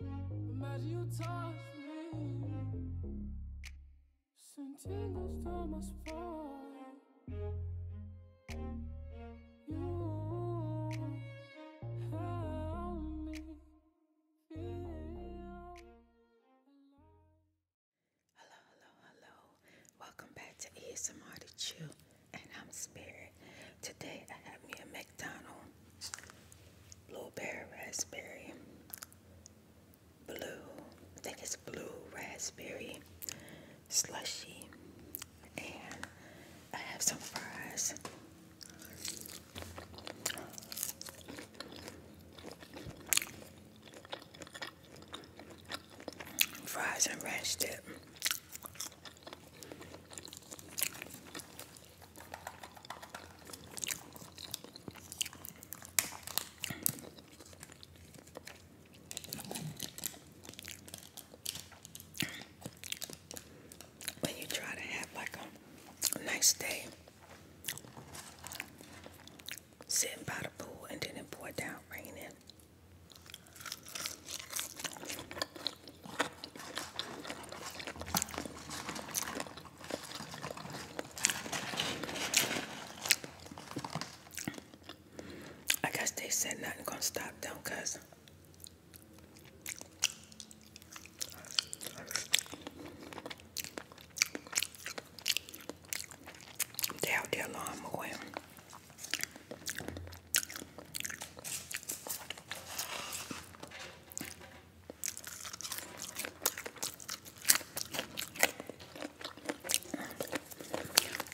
Imagine you touch me. Send tingles Hello, hello, hello. Welcome back to ASMR to Chill, and I'm Spirit. Today I have me a McDonald's blueberry raspberry blue I think it's blue raspberry slushy and I have some fries fries and ranch dip when you try to have like a nice day, sitting by the pool, and then it poured down raining. I guess they said nothing gonna stop them because they out there lawn mowing.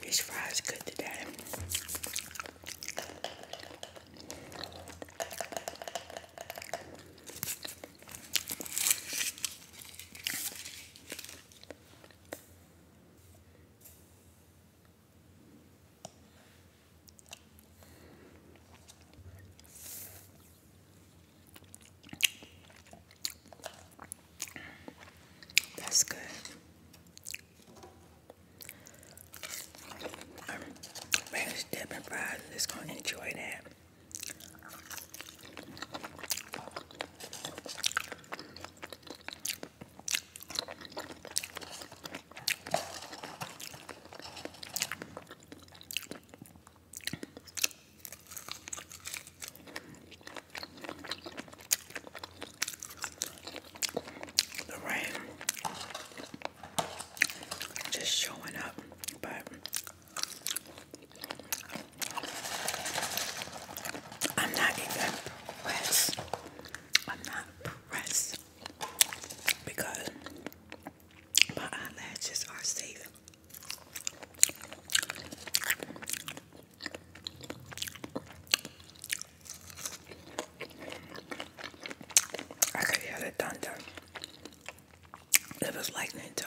These fries good today. That's good. Um, man, it's Devin Fries is going to enjoy that. The rain just showing up, but I'm not even pressed. I'm not pressed because my eyelashes are safe. I could hear the thunder. It was lightning too.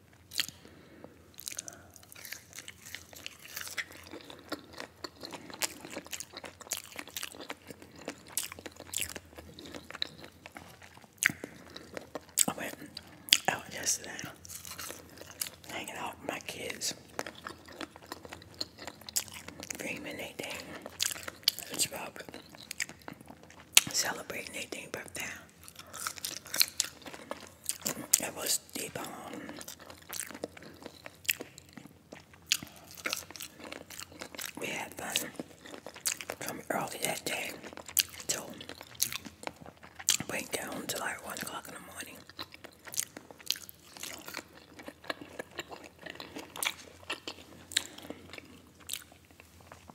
I went out yesterday hanging out with my kids. Dreaming they thing. It's about celebrating their thing birthday. It was deboned. We had fun from early that day till went down till like one o'clock in the morning.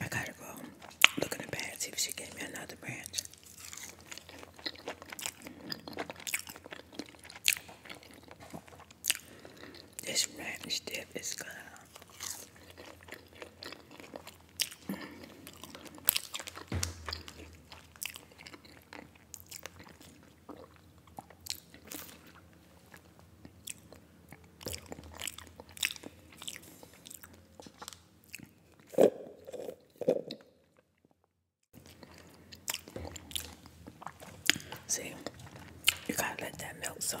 I gotta go look in the bag, she gave me another branch. This ranch dip is good. Mm. See, you gotta let that melt some.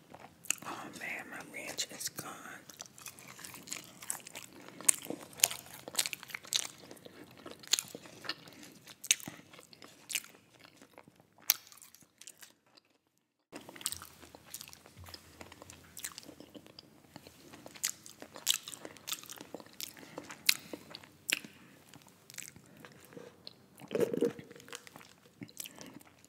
Oh man, my ranch is gone.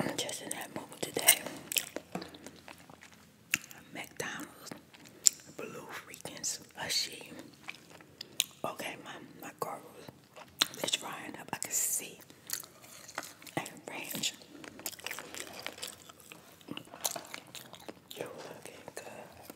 I'm just in that mood today. McDonald's, Blue Freakins, a Okay, my my girl is drying up. I can see and ranch. You're looking good.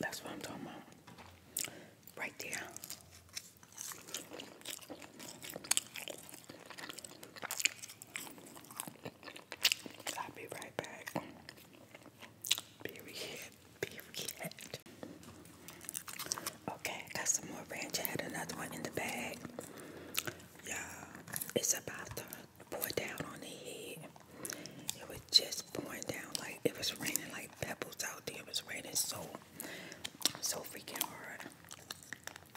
That's what I'm talking about. Right there. I'll be right back. Period. Period. Okay, got some more ranch. I had another one in the bag. Yeah, it's about to pour down on the head. It was just pouring down like it was raining like pebbles out there. It was raining so so freaking hard. But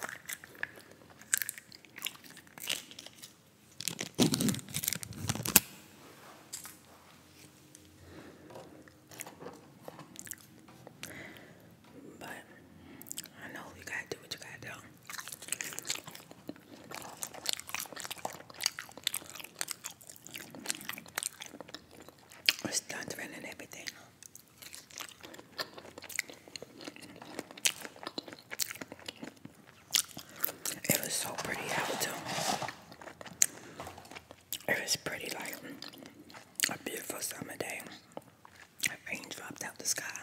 I know you gotta do what you gotta do. It's thundering and everything. It was so pretty out too. It was pretty like a beautiful summer day. A rain dropped out the sky.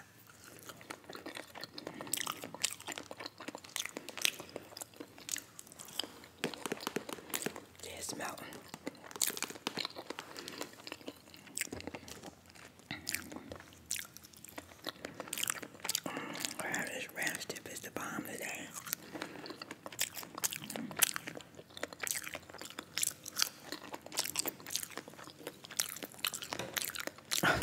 Yes, mountain. Mm, this ranch dip is the bomb today. Child,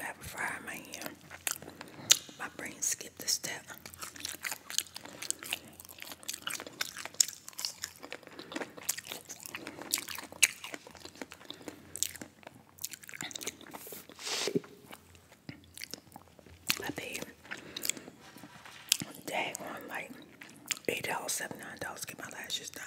I have a fire in my ear. My brain skipped a step. I paid dag on like eight dollars, seven, dollars to get my lashes done.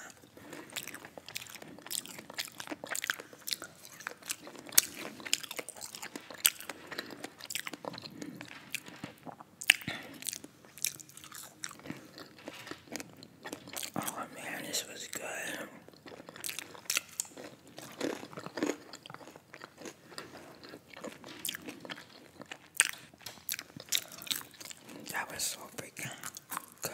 Oh man, this was good. That was so freaking good.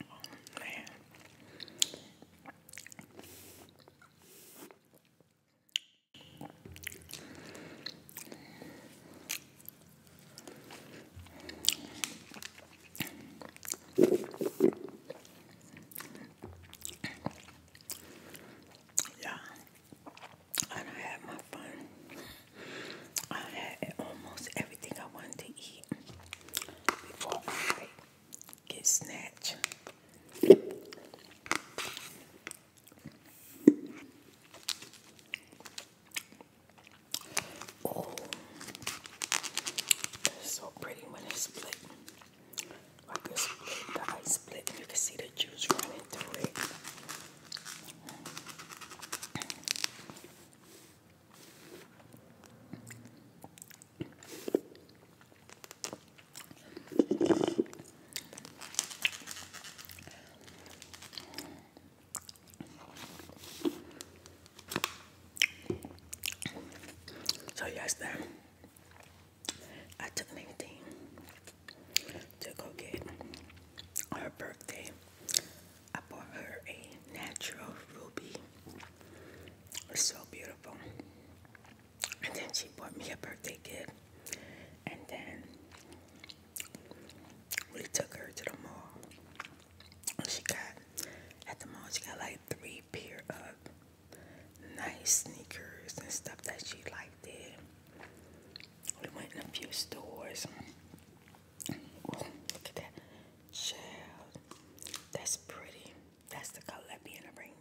Oh, man. Yeah, and I had my fun. I had almost everything I wanted to eat before I get snatched. Oh, it's so pretty when it's split. Like it's split, the ice split, and you can see the juice running through it. So yesterday, I took Nadine to go get our birthday I bought her a natural ruby. It's so beautiful. And then she bought me a birthday gift. And then we took her to the mall. And she got, at the mall, she got like three pair of nice sneakers and stuff that she liked there. We went in a few stores look at that. Child. That's pretty. That's the color that a rainbow.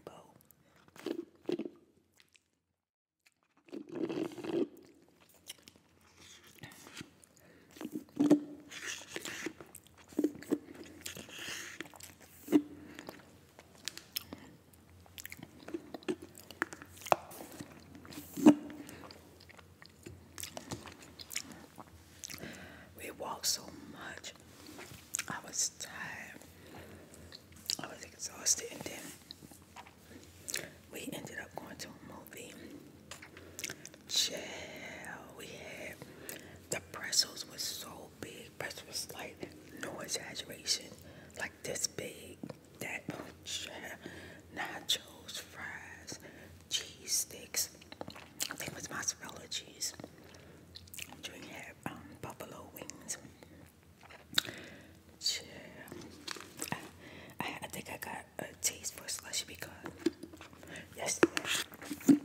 We walked so much. I was tired. I was exhausted and then we ended up going to a movie. Chill. We had the pretzels were so big. Pretzels like no exaggeration. Like this big. That oh, nachos, fries, cheese sticks. I think it mozzarella cheese. Junior um, buffalo wings. Sure. I, think I got a taste for slushy because yesterday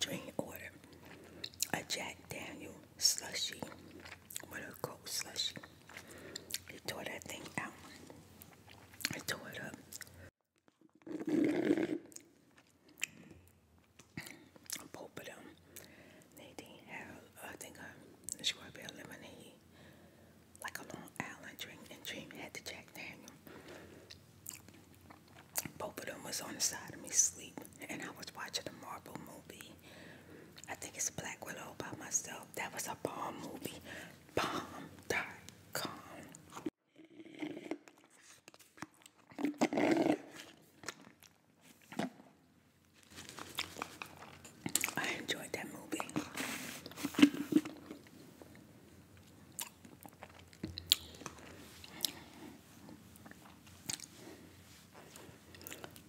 Dream order a Jack Daniel slushy with a cold slushy. He tore that thing out. I tore it up. Both of them, Nadine had, I think, a uh, strawberry lemonade, like a Long Island drink, and Dream had the Jack Daniel. Both of them was on the side of me sleep, and I was watching a Marvel movie. I think it's Black Widow by myself. That was a bomb movie palm.com. I enjoyed that movie.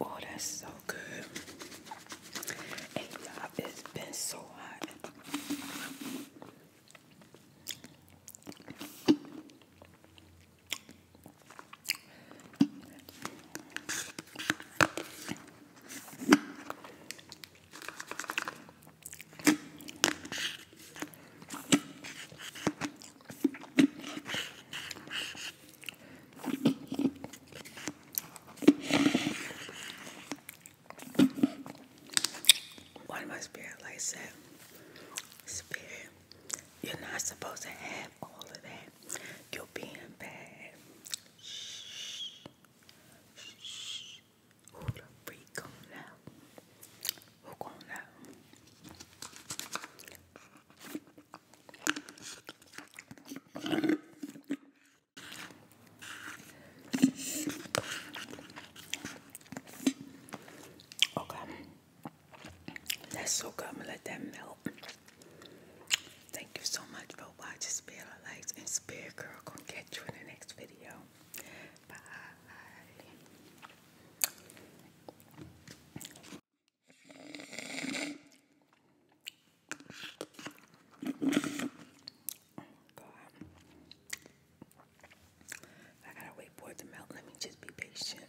Oh, that's so good. it's been so hot. One of my spirit lights said, you're not supposed to have all of that. You're being bad. Shh. Who the freak on out? Who gonna Okay. That's so good. let that melt. Thank you so much for watching Spirit of Lights and Spirit Girl. Gonna catch you in the next video. Bye. I gotta wait for it to melt. Let me just be patient.